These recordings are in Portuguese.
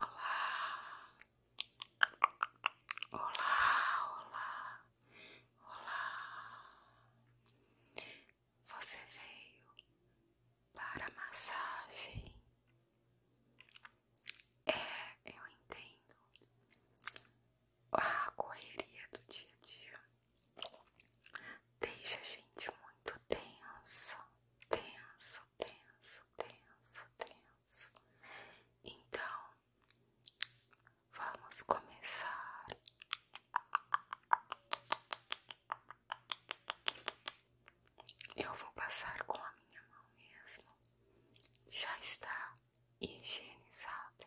Olá, olá, olá, olá. Você veio para a massagem? É, eu entendo. A correria do dia a dia deixa a gente muito tenso, tenso, tenso, tenso, tenso. Então, vamos começar. Eu vou passar com a minha mão mesmo. Já está higienizado.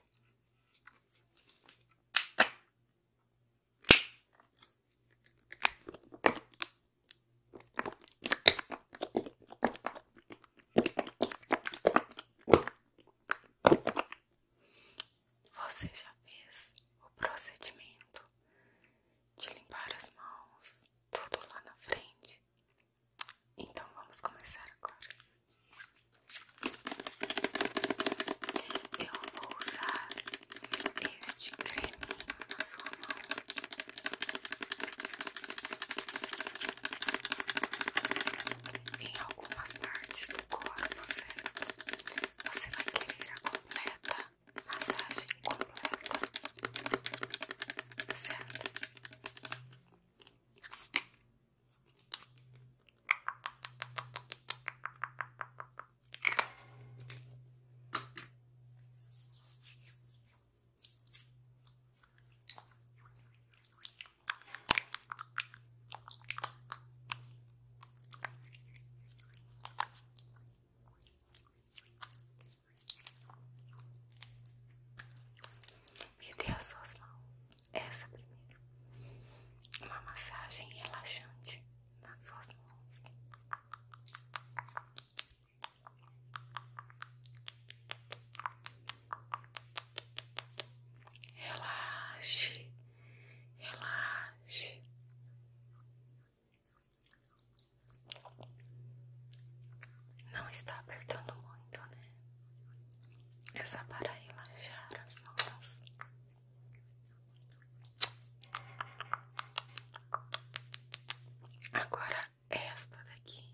Você já fez o procedimento de limpar as mãos, tudo lá na frente? Então vamos começar agora. Eu vou usar este creme na sua mão. Em algumas partes do corpo, você, você vai querer a completa massagem completa, certo? Me dê as suas mãos. Essa primeiro. Uma massagem relaxante nas suas mãos. Relaxe, relaxe. Não está apertando muito, né? É só para relaxar as mãos. Agora esta daqui.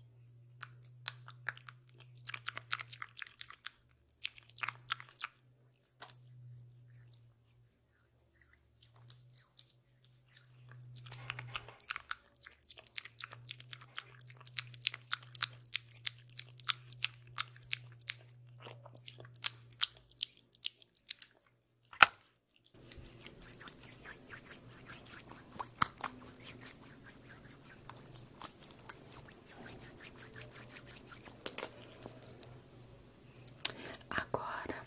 Agora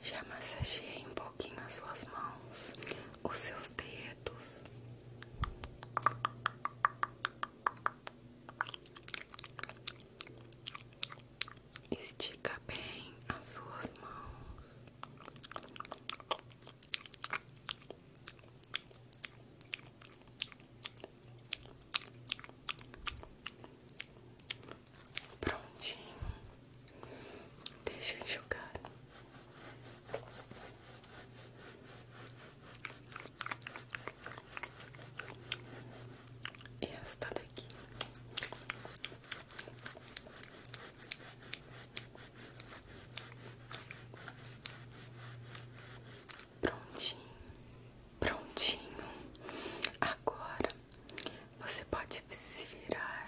já massageei um pouquinho as suas mãos, os seus dedos. Estica bem as suas mãos. Prontinho. Deixa eu enxugar. está daqui. Prontinho, prontinho. Agora você pode se virar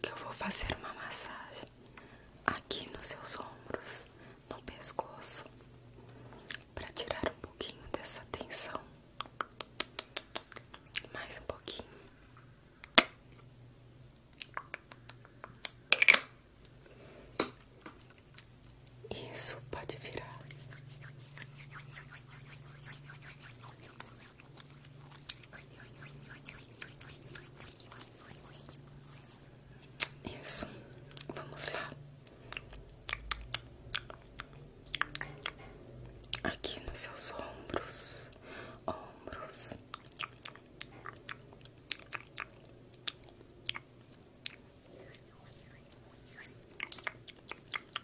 que eu vou fazer uma massagem aqui nos seus ombros, no pescoço, para tirar um pouquinho dessa tensão. Mais um pouquinho. Isso pode virar isso, vamos lá. Aqui nos seus ombros, ombros.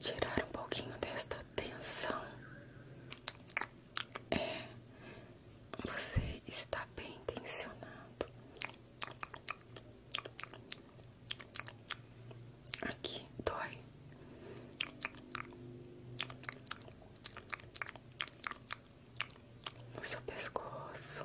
Tirar um pouquinho desta tensão. É, você está bem tensionado. Aqui dói. No seu pescoço,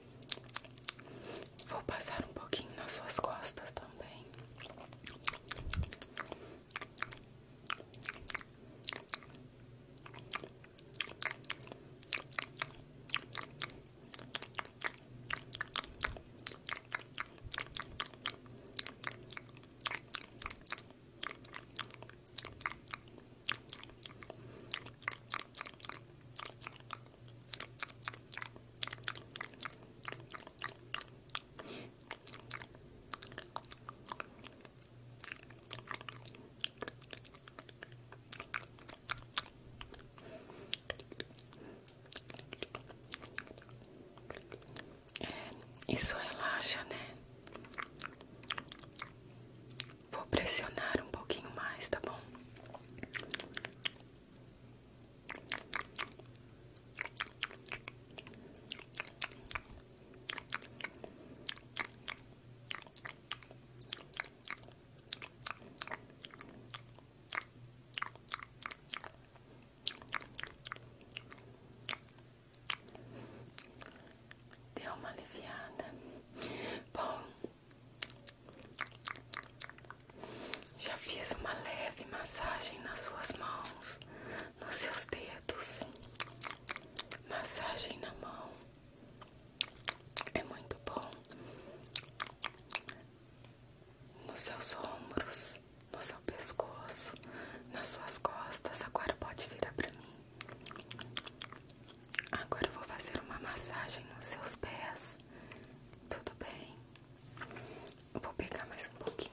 Vou passar um pouquinho nas suas costas também. É, isso relaxa, né? Vou pressionar um pouquinho mais, tá bom? Deu uma aliviada. Bom, já fiz uma leve massagem nas suas mãos, nos seus dedos. Massagem na mão é muito bom. Nos seus ombros, no seu pescoço, nas suas costas. Agora pode virar para mim. Agora eu vou fazer uma massagem nos seus pés. Tudo bem? vou pegar mais um pouquinho.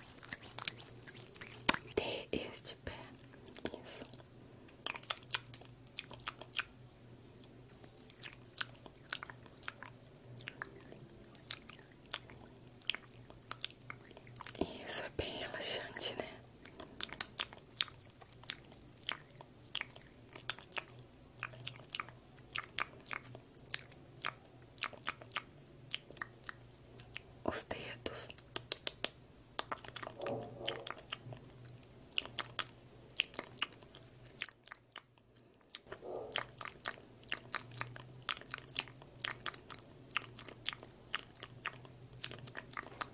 Dê este pé. Isso. Isso é bem relaxante, né? os dedos.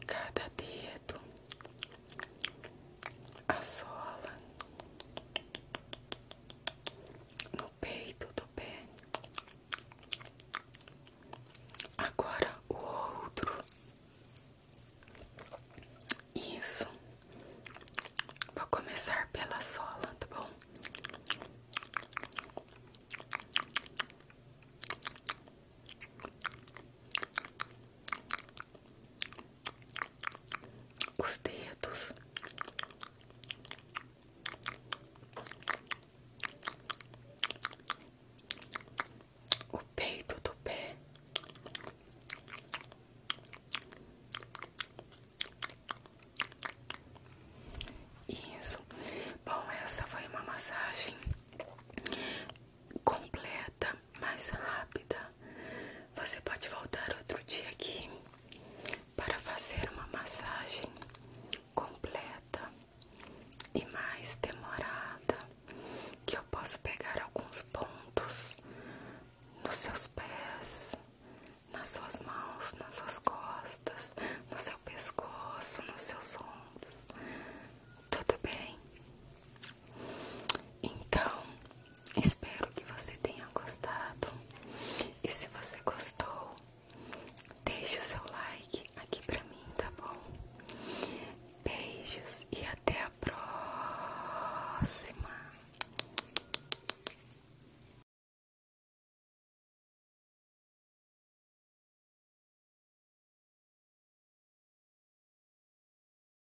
Cada dedo, a sola, no peito do pé. Agora o outro. Isso. Vou começar pela sola, tá bom? os dedos. O peito do pé, isso. Bom, essa foi uma massagem completa, mais rápida você pode voltar outro dia aqui para fazer uma massagem completa e mais demorada, que eu posso pegar alguns pontos nos seus pés, nas suas mãos, nas suas costas, no seu pescoço, nos seus ombros. Tudo bem? Então, espero que você tenha gostado. E se você gostou, deixe o seu like aqui pra mim, tá bom? Beijos e até a próxima.